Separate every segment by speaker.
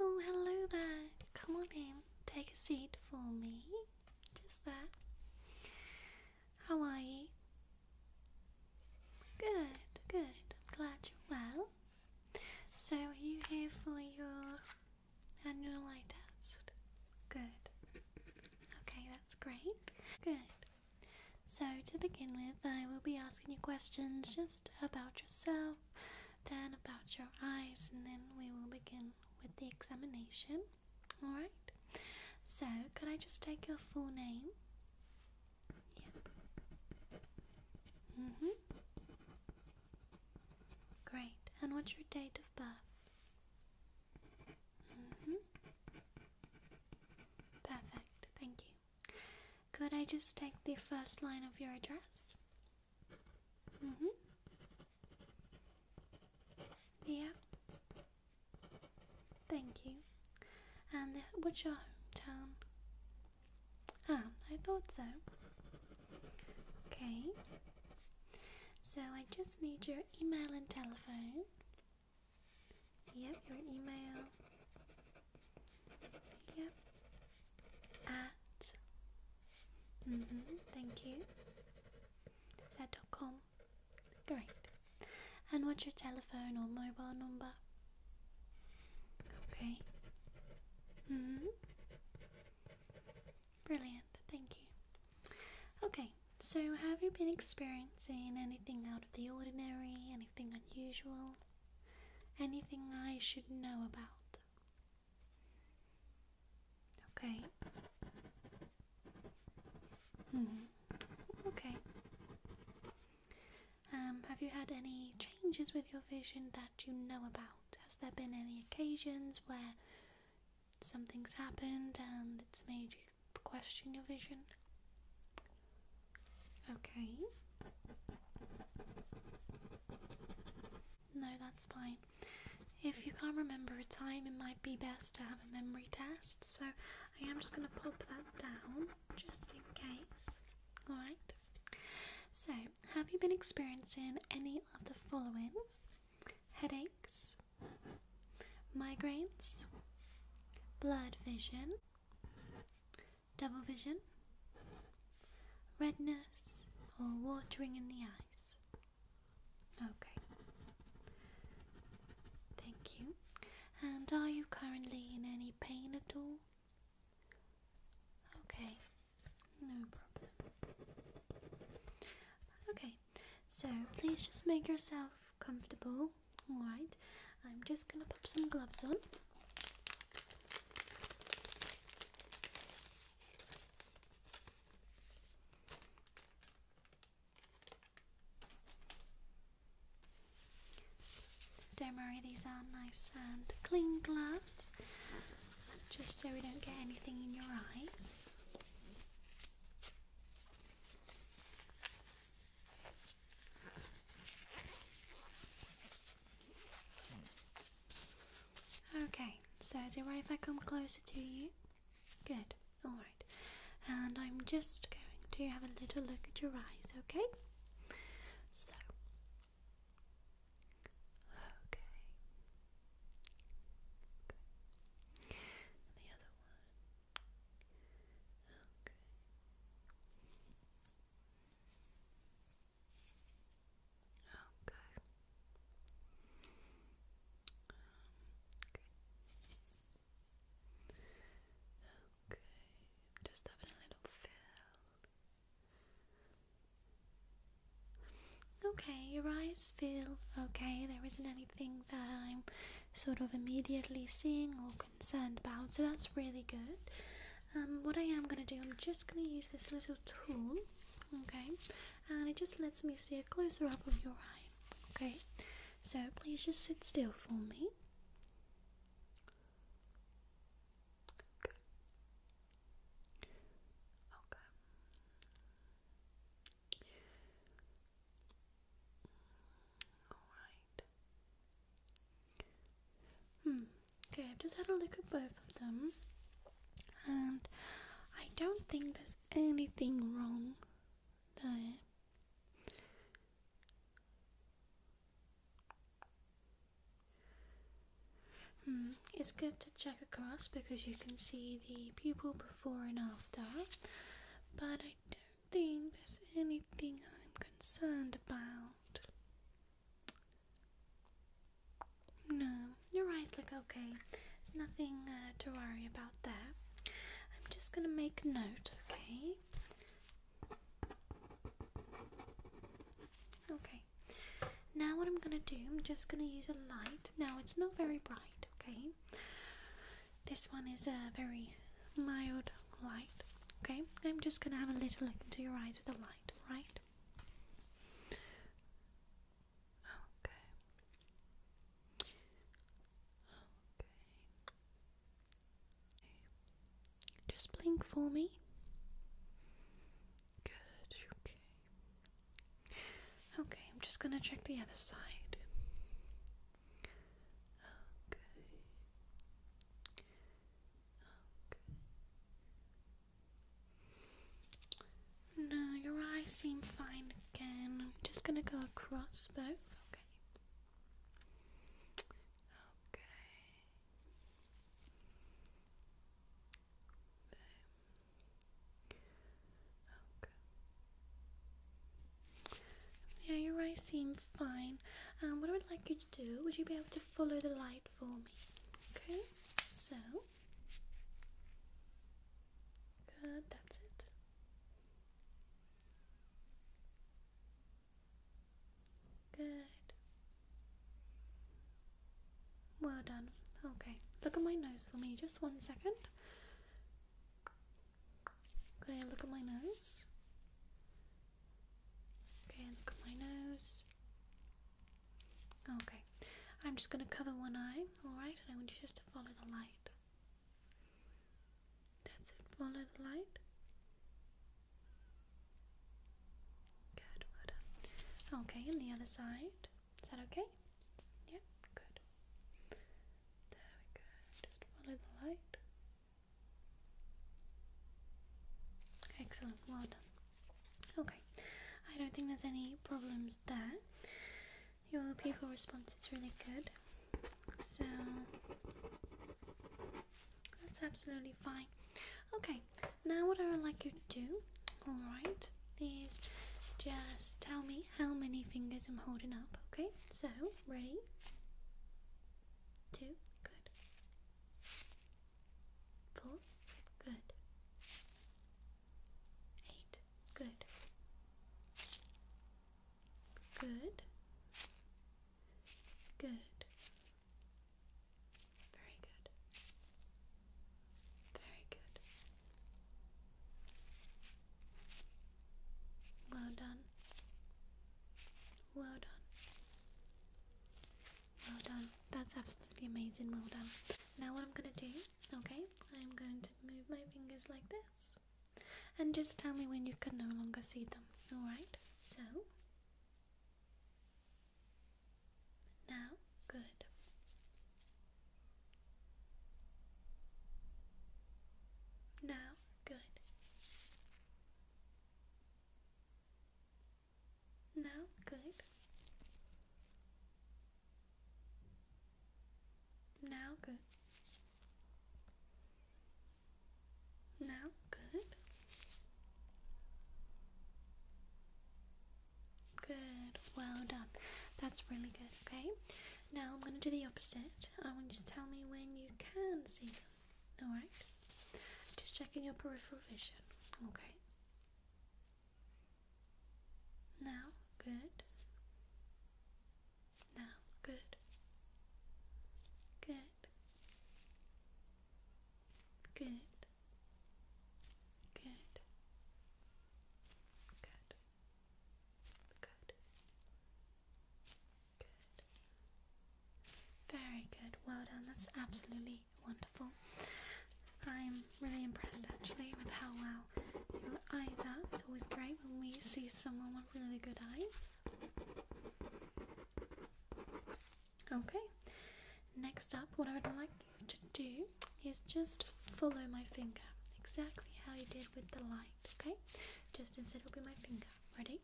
Speaker 1: Oh, hello there. Come on in. Take a seat for me. Just there. How are you? Good, good. I'm glad you're well. So, are you here for your and eye test. Good. Okay, that's great. Good. So, to begin with, I will be asking you questions just about yourself, then about your eyes, and then we will begin with the examination. Alright? So, could I just take your full name? Yep. Mm hmm. Great. And what's your date of birth? Mm-hmm. Perfect, thank you. Could I just take the first line of your address? Mm hmm. Yeah. Thank you. And what's your hometown? Ah, I thought so. Okay. So I just need your email and telephone. Yep, your email. Yep. At. Mm hmm. Thank you. Is that dot com? Great. And what's your telephone or mobile number? Okay. Mm hmm. Brilliant. Thank you. Okay, so have you been experiencing anything out of the ordinary, anything unusual, anything I should know about? Okay. Hmm. Okay. Um, have you had any changes with your vision that you know about? Has there been any occasions where something's happened and it's made you question your vision. Okay. No, that's fine. If you can't remember a time, it might be best to have a memory test. So I am just going to pop that down just in case. Alright. So, have you been experiencing any of the following? headaches, migraines, blurred vision, double vision, redness, or watering in the eyes. Okay. Thank you. And are you currently in any pain at all? Okay. No problem. Okay, so please just make yourself comfortable. Alright, I'm just gonna put some gloves on. Don't worry, these are nice and clean gloves just so we don't get anything in your eyes. Okay, so is it right if I come closer to you? Good, alright. And I'm just going to have a little look at your eyes, okay? So, Okay. Okay. the other one. Okay. Okay. okay. just having a little feel Okay, your eyes feel okay. There isn't anything that I'm sort of immediately seeing or concerned about, so that's really good. Um, what I am gonna do, I'm just gonna use this little tool, okay, and it just lets me see a closer up of your eye, okay. So please just sit still for me. Okay. Alright. Hmm. Okay, I've just had a look at both of them. And I don't think there's anything wrong there. Hmm, it's good to check across because you can see the pupil before and after, but I don't think there's anything I'm concerned about. No, your eyes look okay. There's nothing uh, to worry about there. I'm just gonna make a note, okay? Okay. Now, what I'm gonna do, I'm just gonna use a light. Now, it's not very bright, okay? This one is a very mild light, okay? I'm just gonna have a little look into your eyes with a light, right? Okay. Okay. Just blink for me. Good, okay. Okay, I'm just gonna check the other side. Okay. Okay. No, your eyes seem fine again. I'm just gonna go across both. Okay. Okay. Okay. Yeah, your eyes seem fine. Um, what I would like you to do, would you be able to follow the light for me? Okay, so. that's it. Good. Well done. Okay, look at my nose for me, just one second. Okay, look at my nose. Okay, look at my nose. Okay, I'm just going to cover one eye, alright? And I want you just to follow the light. That's it, follow the light. Good, Okay, and the other side. Is that okay? Yeah, good. There we go. Just follow the light. Excellent, well done. Okay, I don't think there's any problems there. Your pupil response is really good. So that's absolutely fine. Okay, now what I would like you to do, alright, is just tell me how many fingers I'm holding up, okay? So, ready? Two, good. Four, good. Eight, good. Good. Good. Very good. Very good. Well done. Well done. Well done. That's absolutely amazing. Well done. Now, what I'm gonna do, okay, I'm going to move my fingers like this. And just tell me when you can no longer see them, alright? So, now, good. Now, good. Now, good. Now, good. Now, good. Good, well done. That's really good, okay? Now I'm going to do the opposite. I want you to tell me when you can see them, alright? Just checking your peripheral vision, okay? Now, good. Now, good. Good. Good. Good. Good. Good. Good. Very good. Well done. That's absolutely wonderful. I'm really impressed actually with how well your eyes are. It's always great when we see someone with really good eyes. Okay, next up, what I would like you to do is just follow my finger exactly how you did with the light, okay? Just instead, it'll be my finger. Ready?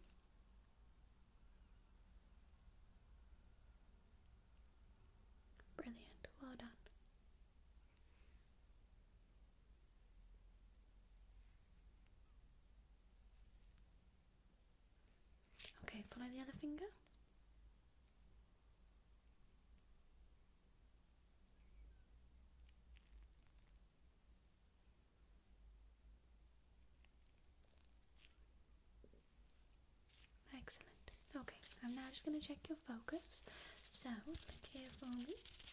Speaker 1: Brilliant, well done. Okay, follow the other finger. Excellent. Okay, I'm now just going to check your focus. So, look here for me.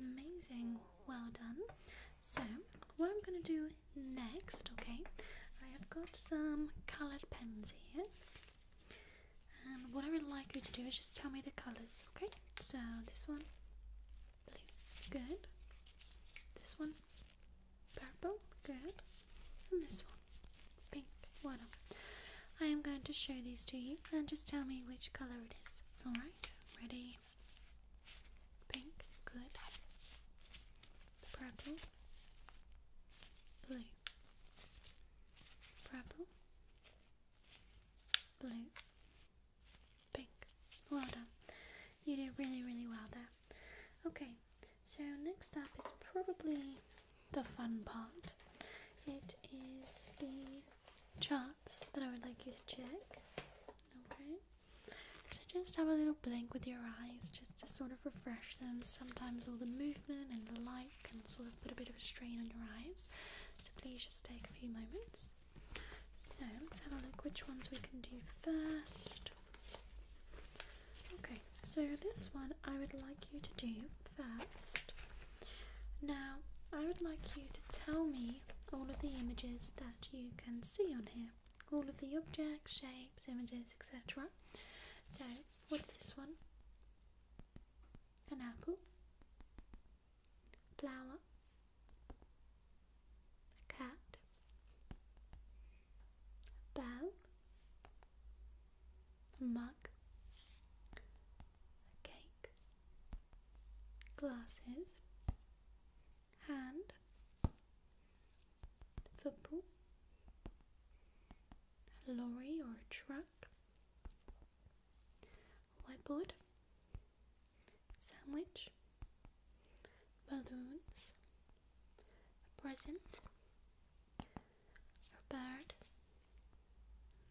Speaker 1: Amazing, well done. So, what I'm going to do next, okay, I have got some coloured pens here. And what I would like you to do is just tell me the colours, okay? So, this one, blue, good. This one, purple, good. And this one pink, whatever. I am going to show these to you and just tell me which color it is. Alright, ready? Pink, good. Purple, blue, purple, blue, pink. Well done. You did really, really well there. Okay, so next up is probably the fun part. It is the charts that I would like you to check. Okay? So just have a little blink with your eyes just to sort of refresh them. Sometimes all the movement and the light can sort of put a bit of a strain on your eyes. So please just take a few moments. So let's have a look which ones we can do first. Okay, so this one I would like you to do first. Now I would like you to tell me all of the images that you can see on here. All of the objects, shapes, images, etc. So what's this one? An apple, flower, a cat, bell, mug, cake, glasses, hand, football, a lorry or a truck, whiteboard, sandwich, balloons, a present, a bird,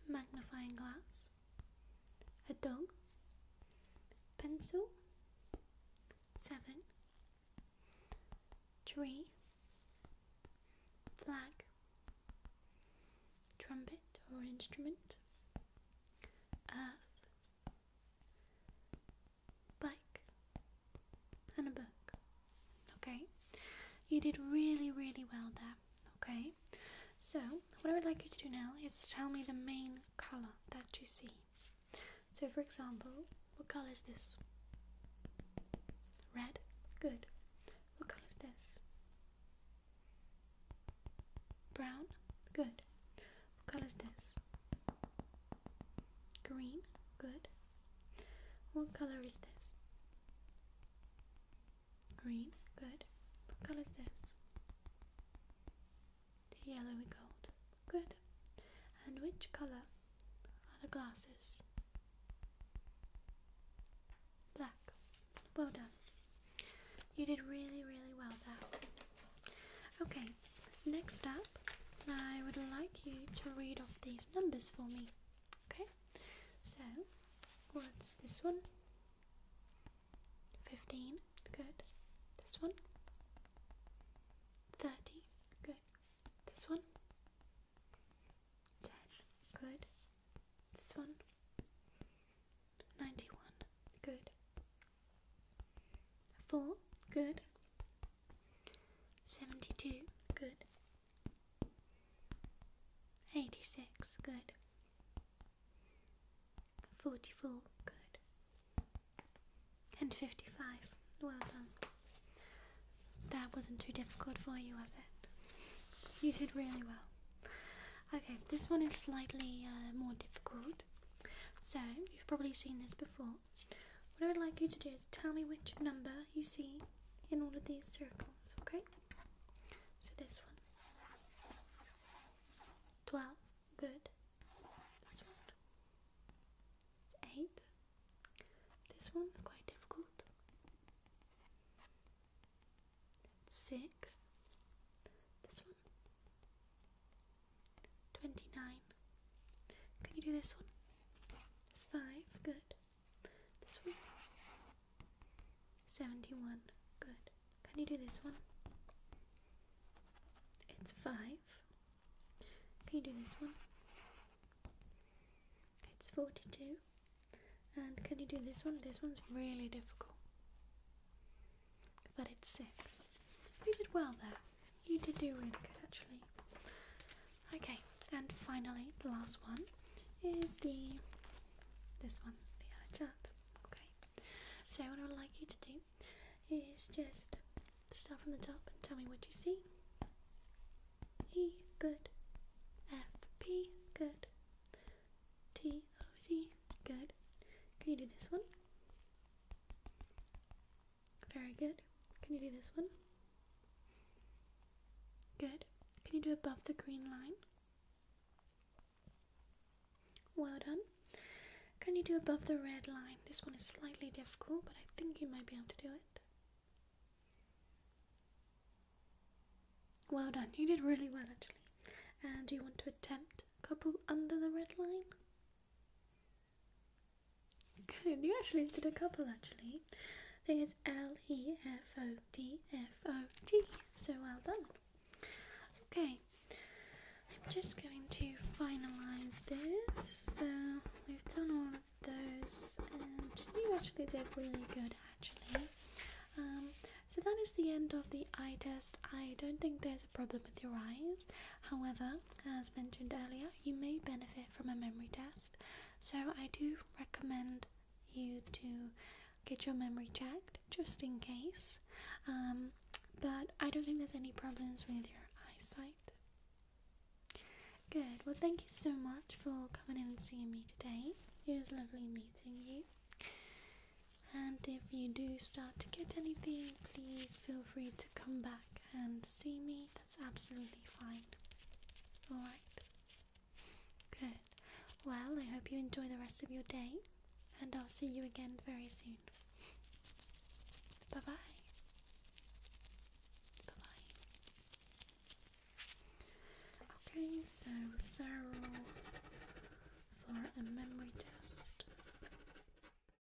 Speaker 1: a magnifying glass, a dog, pencil, seven, tree, flag, trumpet or instrument, earth, bike, and a book. Okay? You did really, really well there. Okay? So, what I would like you to do now is tell me the main color that you see. So, for example, what color is this? Red. Good. What color is this? Brown. Good. What color is this? Green. Good. What color is this? Green, good. What color is this? The yellowy gold, good. And which color are the glasses? Black. Well done. You did really, really well there. Okay, next up, I would like you to read off these numbers for me. Okay, so what's this one? 15, good. This one? 30, good. This one? 10, good. This one? 91, good. 4, good. 72, good. 86, good. 44, good. And 55, well done. That wasn't too difficult for you, was it? You did really well. Okay, this one is slightly uh, more difficult. So, you've probably seen this before what I would like you to do is tell me which number you see in all of these circles, okay? So this one. 12, good. That's one. 8. This one is quite difficult. 6. This one. 29. Can you do this one? It's five. Good. This one. Seventy-one. Good. Can you do this one? It's five. Can you do this one? It's forty-two. And can you do this one? This one's really difficult. But it's six. You did well there. You did do it good actually. Okay, and finally the last one is the this one, the eye chart. Okay. So what I would like you to do is just start from the top and tell me what you see. E good. F P good. T O Z good. Can you do this one? Very good. Can you do this one? Good. Can you do above the green line? Well done. Can you do above the red line? This one is slightly difficult, but I think you might be able to do it. Well done. You did really well, actually. And do you want to attempt a couple under the red line? Good, you actually did a couple actually. I think it's L E F O D F O T. So well done. Okay, I'm just going to finalize this. So we've done all of those, and you actually did really good actually. Um, so that is the end of the eye test. I don't think there's a problem with your eyes. However, as mentioned earlier, you may benefit from a memory test. So, I do recommend you to get your memory checked just in case. Um, but I don't think there's any problems with your eyesight. Good, well, thank you so much for coming in and seeing me today. It was lovely meeting you. And if you do start to get anything, please feel free to come back and see me, that's absolutely fine. Alright. Good. Well, I hope you enjoy the rest of your day, and I'll see you again very soon. Bye bye. Bye bye. Okay, so thorough for a memory test.